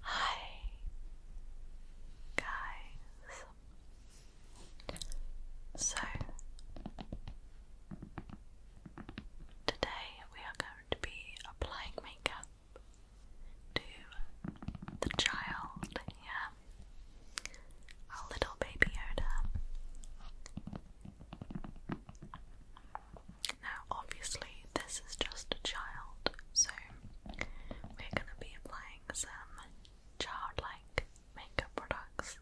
Hi guys. So today we are going to be applying makeup to the child, yeah. Our little baby Yoda. Now obviously this is just a child, so we're going to be applying some childlike makeup products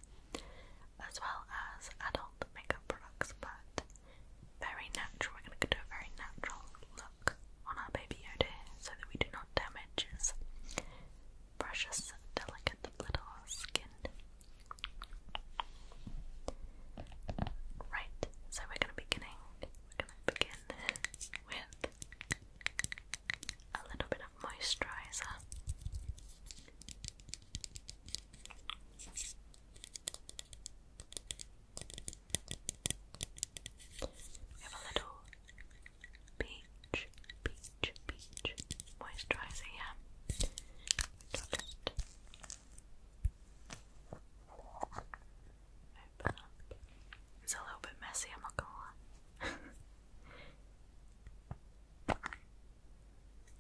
as well as adult makeup products, but very natural. We're going to do a very natural look on our baby Yoda so that we do not damage his precious, delicate little skin. Right, so we're going to be beginning we're gonna begin with a little bit of moisturizer. We have a little peach, peach, peach moisturizer it's a little bit messy, I'm not gonna lie.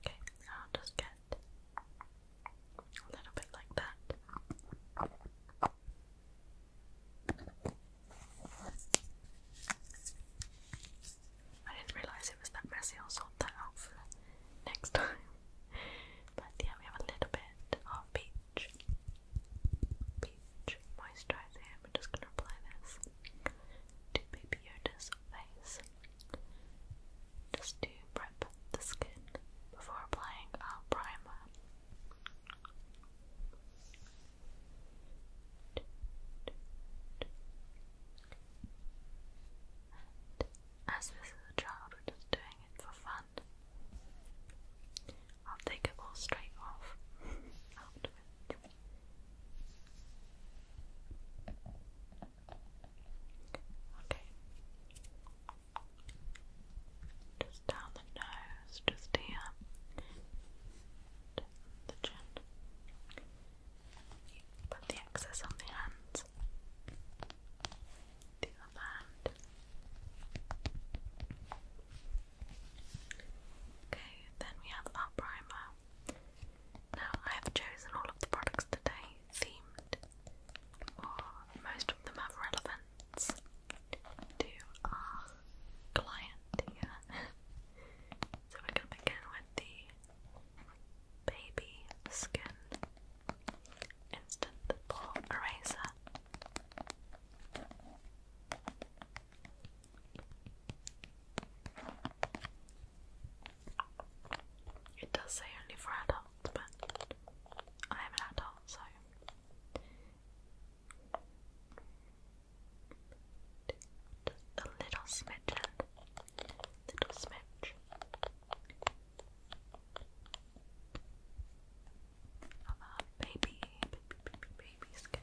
okay, I'll just get a little bit like that. I didn't realise it was that messy, i that out next time. But yeah, we have a little bit of beach peach, moisturizer. I'm just gonna apply this to Baby Yoda's face, just to prep the skin before applying our primer. as this is a child, we're just doing for fun. I'll take it all straight off Okay. Just down the nose, just here. the chin. Put the excess on the hands. The other hand. Okay, then we have our primer. Now, I have chosen all of the products today themed, or most of them have relevance to our client so we're going to begin with the baby skin Instant eraser. It does say only for adults, but I am an adult, so. A little smidgen, little smidge. Come on, baby, baby, baby, baby skin.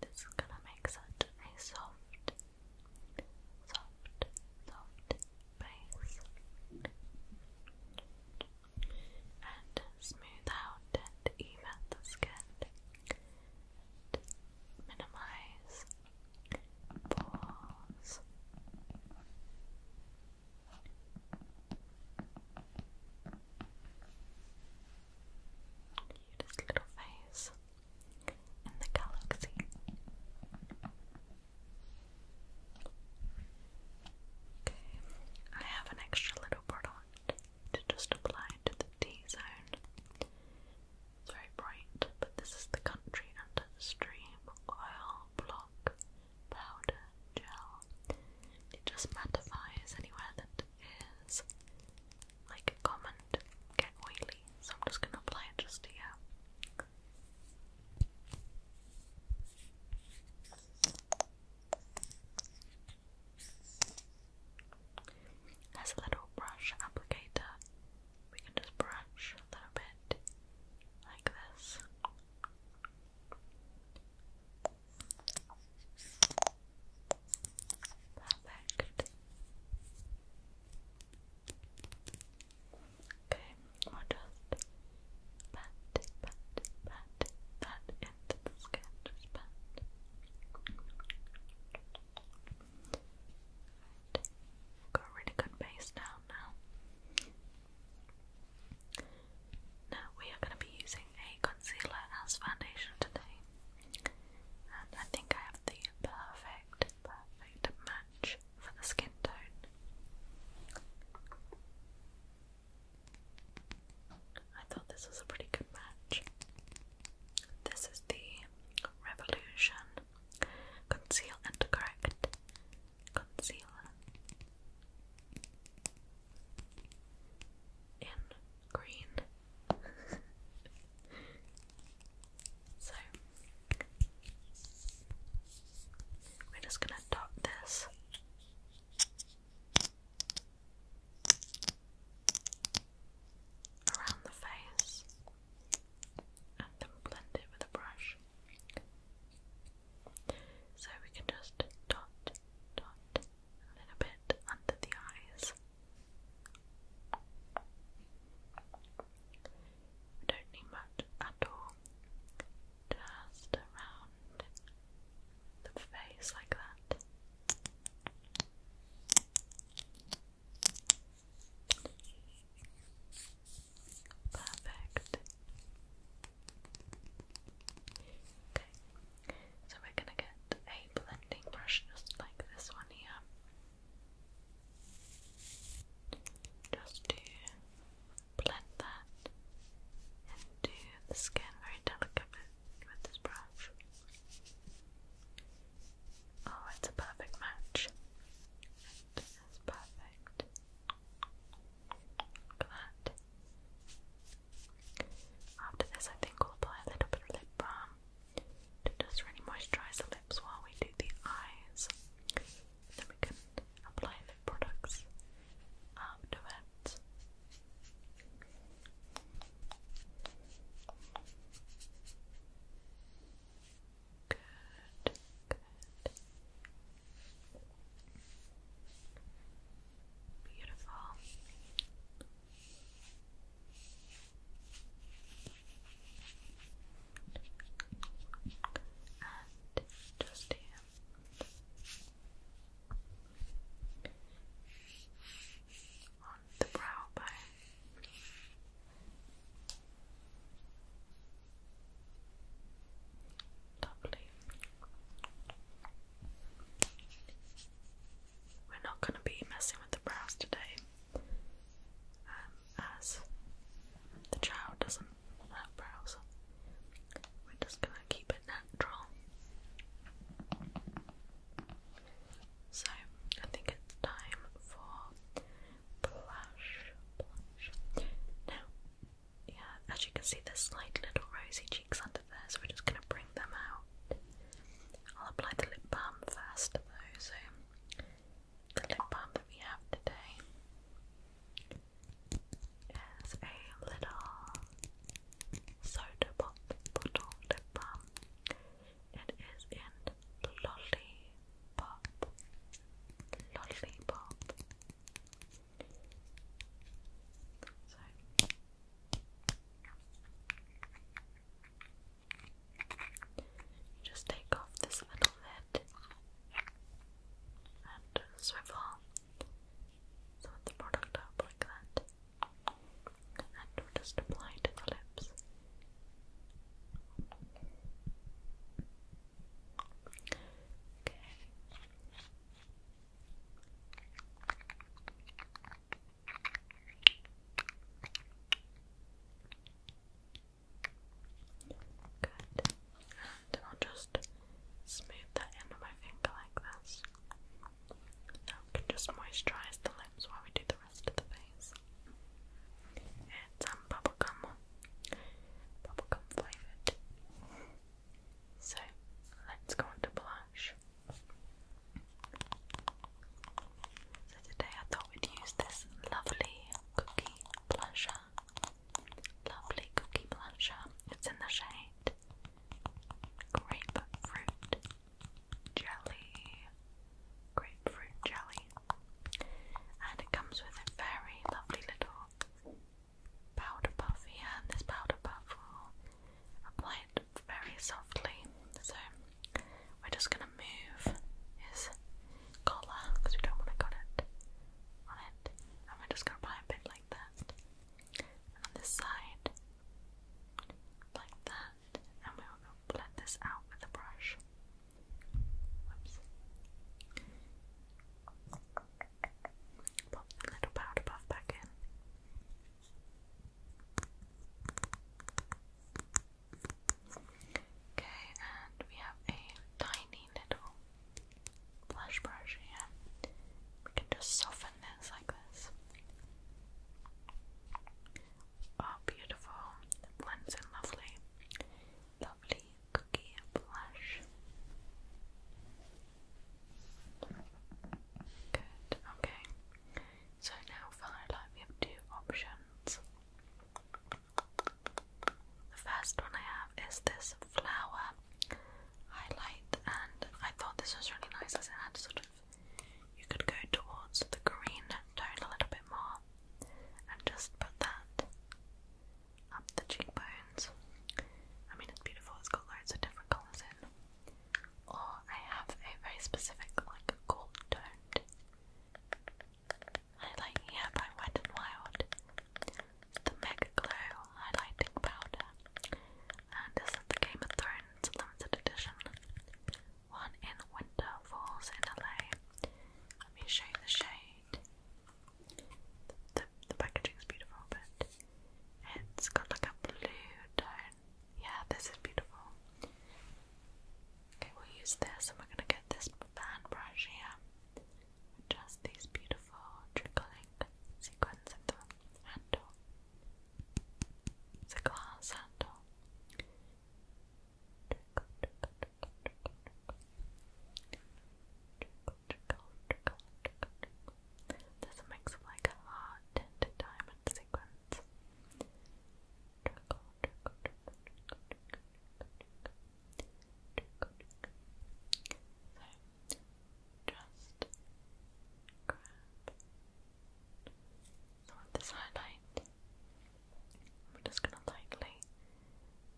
This is gonna make such a soft, soft, soft base and smooth out and even the skin minimize, pause. Cutest little face in the galaxy. Okay, I have an extra little product to just apply to the T zone. It's very bright, but this is the country under the stream oil block powder gel. It just mattifies anywhere that is like a common get oily, so I'm just gonna apply it just here. There's a little brush applicator we can just brush a little bit like this. Perfect. Okay, we'll just pat, pat, pat, pat into the skin, just pat. Got really good base now. Now we are going to be using a concealer as foundation today. And I think I have the perfect, perfect match for the skin tone. I thought this was a pretty good match. This is the Revolution Conceal and correct. Conceal. In green. so, we're just going to dot this. Around the face, and then blend it with a brush. So we can just dot, dot a little bit under the eyes. We don't need much at all. Just around the face like that. Perfect. Okay, so we're going to get a blending brush just like this one here. Just to blend that into the skin very delicately with this brush. Oh, it's a perfect match. It is perfect. After this, I think we'll apply a little bit of lip balm to just really moisturize the lips while we do the eyes. Then we can apply lip products afterwards. Good, good. Beautiful. And just here. On the brow bone. Lovely. We're not going to be messing with the brows today, um, as the child doesn't have brows. We're just going to keep it natural. So, I think it's time for now, yeah, as you can see, there's like little rosy cheeks under there, so we're just gonna bring them out. I'll apply the lip balm first, though. So the lip balm that we have today is a little soda pop bottle lip balm. It is in Lollipop. Lollipop. So. just take off this little lid and swivel the product up like that, and just apply to the lips. Okay. Good. And I'll just smooth that in with my finger like this. Now we can just moisturize the lips while we do the rest. And some bubblegum, bubblegum flavoured. So let's go on to blush. So today I thought we'd use this lovely cookie blusher. Lovely cookie blusher. It's in the shade Grape Jelly grapefruit jelly. And it comes with a very lovely little powder puff here. And this powder puff will apply it very softly. So we're just going to move his collar because we don't want to cut it on it. And we're just going to apply a bit like that. And on this side, like that and we will blend this out with a brush. Whoops. Pop the little powder puff back in. Okay, and we have a tiny little blush brush here. We can just soften this like this. Oh, beautiful. It blends in lovely. Lovely cookie blush. Good, okay. So now follow light, we have two options. The first one I have is this flower highlight, and I thought this was really nice as it had sort of you could go towards the green tone a little bit more and just put that up the cheekbones. I mean, it's beautiful, it's got loads of different colours in. Or I have a very specific, like, gold toned highlight by Wet n Wild, the Mega Glow highlighting powder, and this is the Game of Thrones limited edition one in Winter Falls in LA. Let me show you the shade. The, the, packaging is beautiful, but it's got like a blue tone. Yeah, this is beautiful. Okay, we'll use this and we're gonna get this fan brush here. Which these beautiful trickling sequins in the handle. It's a glass handle. There's a like a heart tinted diamond sequence. So just grab so with this highlight, we're just gonna lightly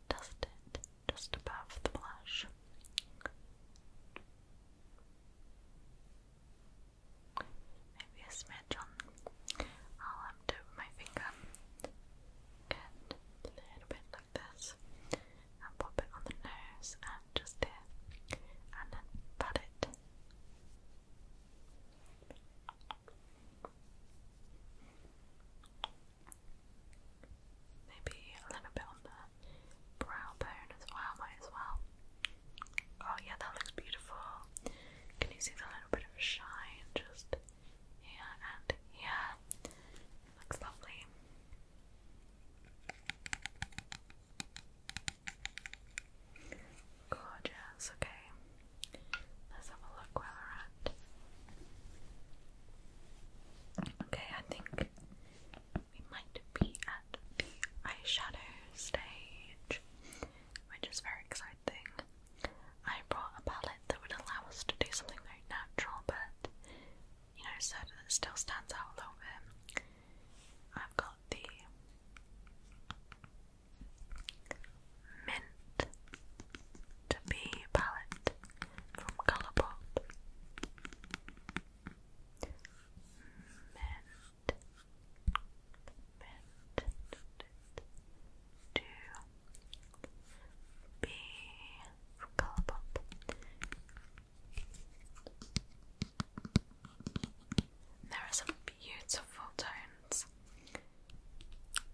dust it just above the blush. Maybe a smidge on. I'll do it with my finger. Get a little bit like this, and pop it on the nose and just there, and then pat it. Maybe a little bit on the brow bone as well, might as well. Oh yeah, that looks beautiful. Can you see the little bit of shine just here and here? Looks lovely. Gorgeous, okay. Let's have a look where Okay, I think we might be at the eyeshadow stage, which is very exciting. I brought a palette that would allow us to do something very natural, but you know, so that still stands out a little bit. I've got the Mint to be palette from Colourpop. Mint, mint to be from Colourpop. There are some beautiful tones.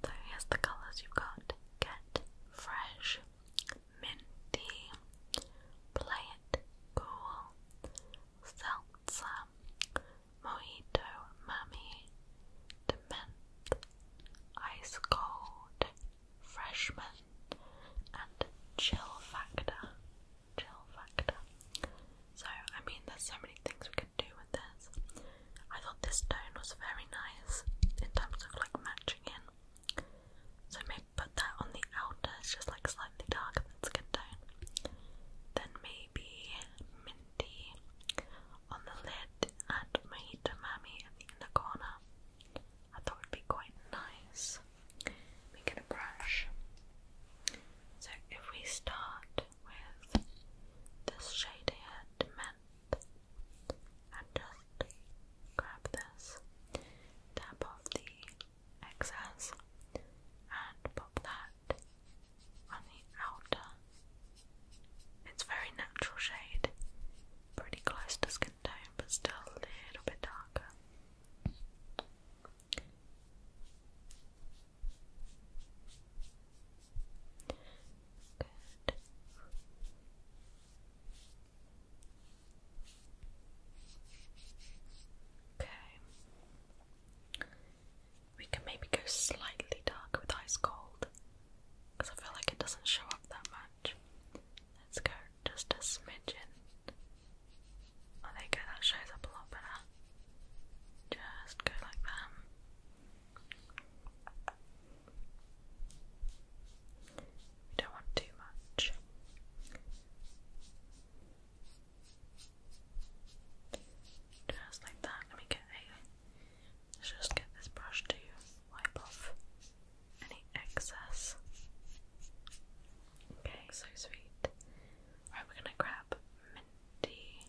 So here's the colours you've got. Get fresh, minty, play it cool, seltzer, mojito, mummy, dement, ice cold, freshman, and chill factor. Chill factor. So, I mean, there's so many things we could do with this. I thought this stone was very nice in terms of like matching in. So, maybe put that on the outer, it's just like slightly darker, that's a good tone. Then, maybe minty on the lid and to mammy in the, in corner. I thought would be quite nice. We get a brush. So, if we start with this shade here, mint, and just grab this, tap off the excess, and pop that on the outer. It's very natural shade, pretty close to skin tone, but still a little bit darker. Okay. We can maybe go slightly dark with ice cold because I feel like it doesn't show up that much. Let's go just a smidgen. Oh, there that shows up a lot better. Just go like that. We don't want too much. Just like that. Let me get a. Let's just get this brush to wipe off any excess. Okay, so sweet. Right, we're gonna grab minty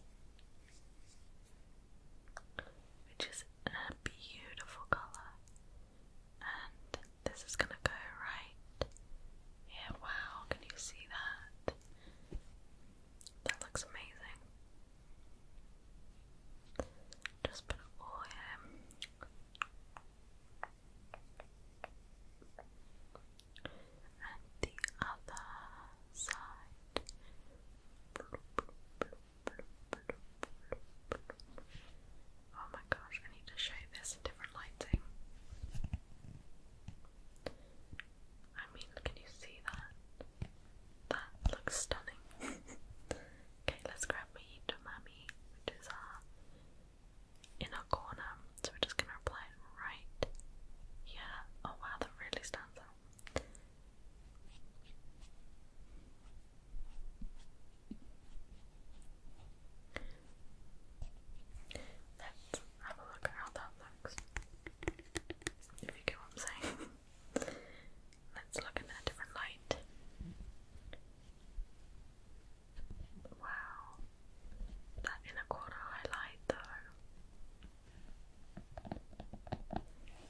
which is a beautiful colour. And this is gonna go right here. Wow, can you see that? That looks amazing. Just put it and the other side. Oh my gosh, I need to show this in different lighting. I mean, can you see that? That looks stunning. okay, let's grab me to which is uh, our inner corner. So we're just gonna apply it right here. Oh wow, that really stands out. Let's have a look at how that looks. If you get what I'm saying. Let's look in a different light. Wow. That inner corner highlight though.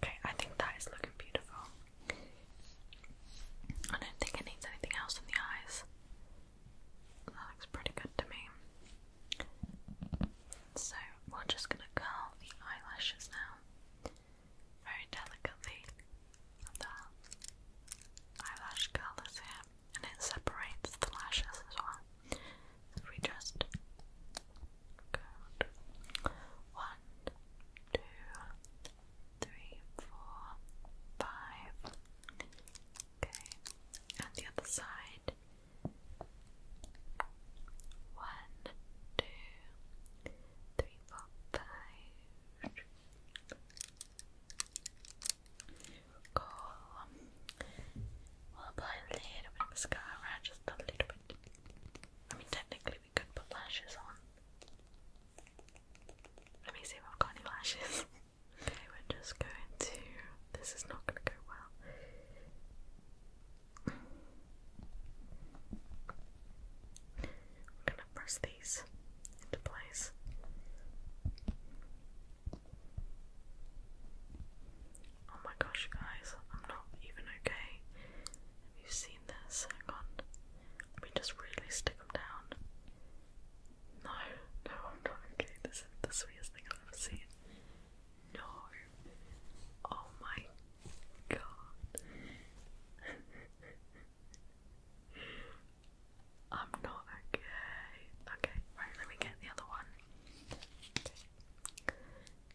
Okay, I think that is looking beautiful. I don't think it needs anything else in the eyes. That looks pretty good to me. So, we're just gonna curl the eyelashes now. Very delicately. The eyelash curlers here, and it separates the lashes as well we just count one, two, three, four, five. Okay, and the other side. One, two, three, four, five. Cool apply a little bit mascara, just a little bit. I mean, technically we could put lashes on. Let me see if I've got any lashes. okay, we're just going to. This is not going to go well. I'm gonna press these into place. Oh my gosh, guys, I'm not even okay. Have you seen this? Hang on. Let me just really stick them down. No, no, I'm not okay. This is the sweetest thing I've ever seen. No. Oh my god. I'm not okay. Okay, right, let me get the other one.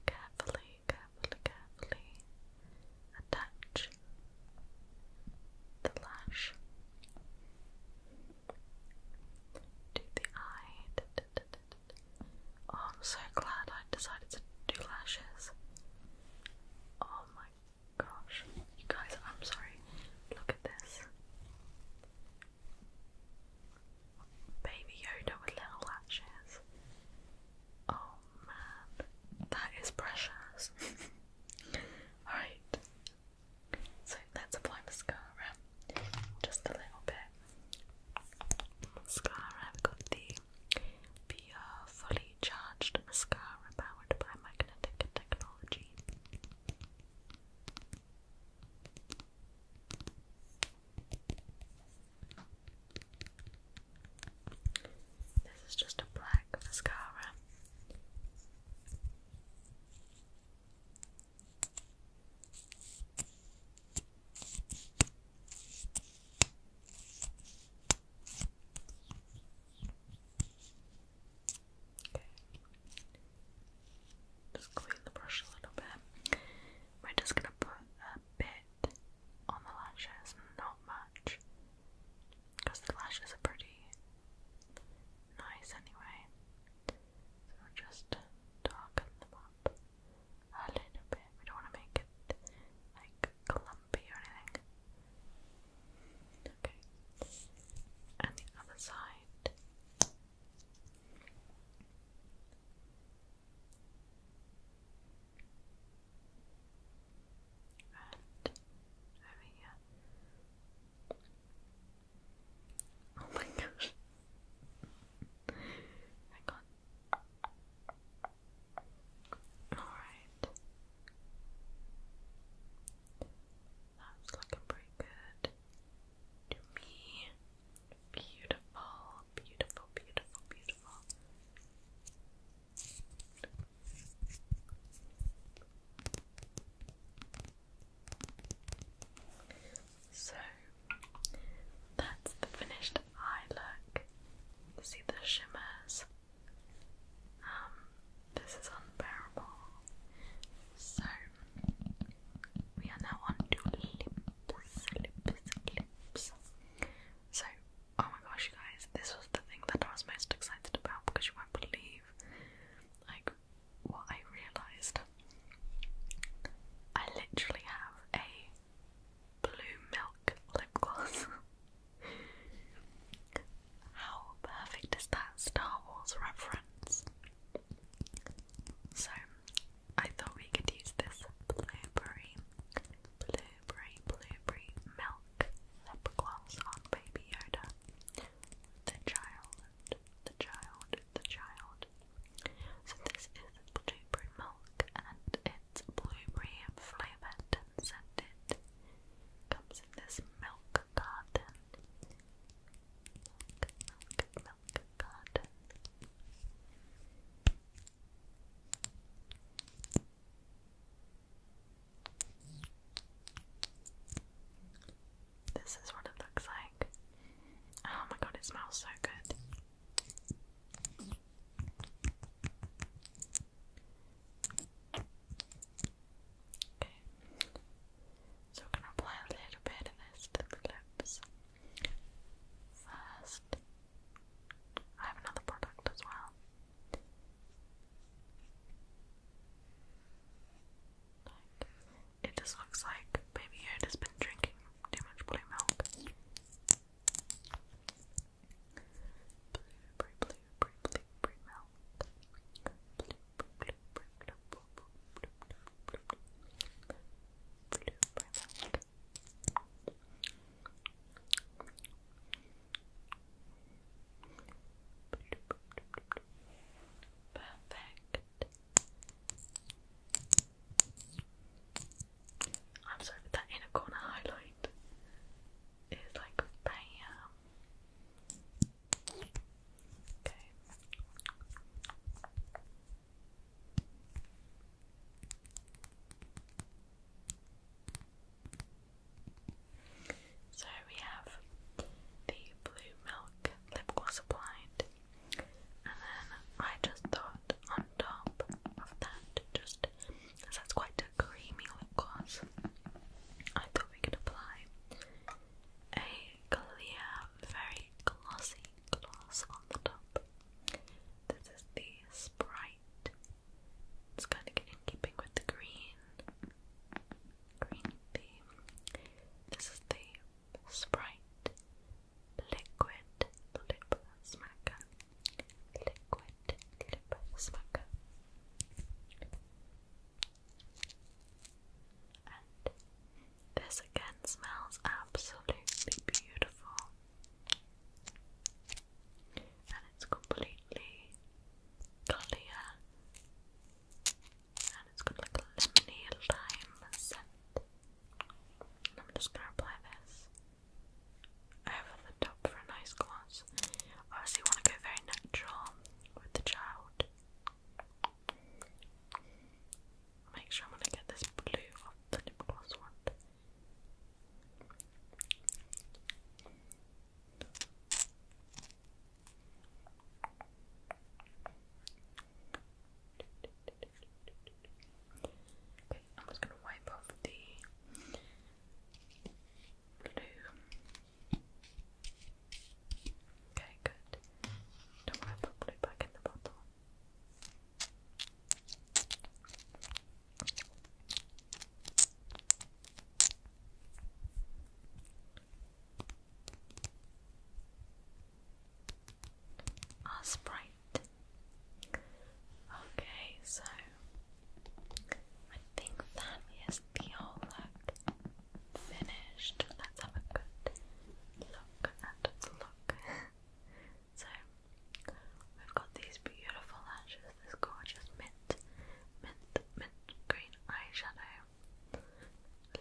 Carefully, carefully, carefully attach the lash to the eye. Oh, I'm so glad I decided to do lashes. Oh my gosh. You guys, I'm sorry. Look at this. Baby Yoda with little lashes. Oh man, that is precious. Alright, so let's apply mascara. Just a little bit. Mascara, I've got the Pure Fully Charged Mascara powered by magnetic technology. This is just a black mascara. Just clean the brush a little bit. We're just gonna put a bit on the lashes, not much, because the lashes are pretty nice anyway. So just darken them up a little bit. We don't want to make it like clumpy or anything. Okay. And the other side. And over Oh my gosh. I can Alright. That's looking pretty good to me. Beautiful beautiful, beautiful, beautiful. So that's the finished eye look. see the shimmers. Um, this is unbearable. So we are now on to lips, lips, lips. So, oh my gosh, guys, this was the thing that I was most excited about because you won't believe like what I realised. I literally have a blue milk lip gloss. How perfect is that Star Wars reference? So I thought we could use this blueberry, blueberry, blueberry milk lip gloss on Baby Yoda. The child, the child, the child. So this is blueberry milk and it's blueberry flavoured and scented. Comes in this milk garden. Milk, milk, this is what it looks like. Oh my god, it smells so good. so gonna apply a little bit of this to the lips. First, I have another product as well. Like, it just looks like Baby Yoda's been drinking too much blue milk. Blue, blue, blue, blue, blue, blue milk. blue, blue, blue, blue, blue, blue, Perfect. I'm sorry, that inner corner highlight is like bam. Okay. So we have the blue milk lip gloss applied, and then I just thought on top of that, just as that's quite a creamy lip gloss, I thought we could apply a clear, very glossy gloss on the top. This is the Sprite. It's kind of in keeping with the green, green theme. This is the Sprite Liquid Lip Smacker. Liquid Lip Smacker. This again smells absolutely beautiful. And it's completely clear. And it's got like a lemony lime scent. I'm just gonna apply this over the top for a nice gloss. Obviously wanna go very natural with the child make sure I'm gonna get this blue off the lip gloss one. I'm just gonna wipe off the blue. Okay, good. Don't wipe the blue back in the bottle. Ah, Sprite. Okay, so I think that is the whole look finished. Let's have a good look at the look. So we've got these beautiful lashes, this gorgeous mint, mint, mint green eyeshadow,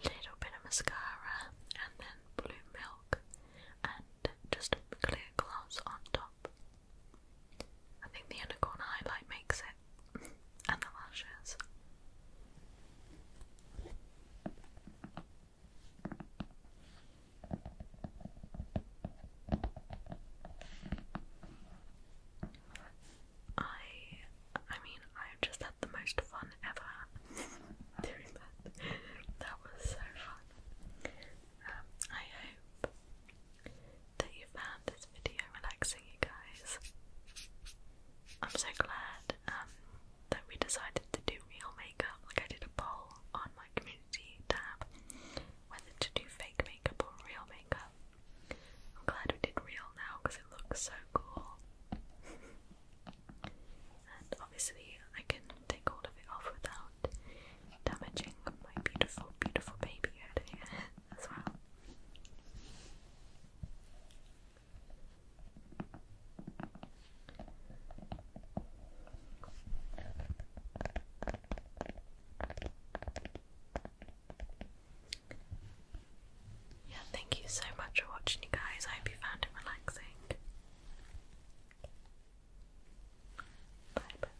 little bit of mascara, and then blue milk, and just clear gloss on top. I think the unicorn highlight makes it, and the lashes. I I mean i just had the most fun ever doing that. That was so fun. Um, I hope that you found this video relaxing you guys. I'm so glad um, that we decided to do real makeup. Like, I did a poll on my community tab whether to do fake makeup or real makeup. I'm glad we did real now because it looks so cool. and obviously, I can take all of it off without damaging my beautiful, beautiful baby head as well. Yeah, thank you so much for watching, you guys. I hope you found it relaxing. Bye, bye,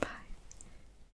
bye,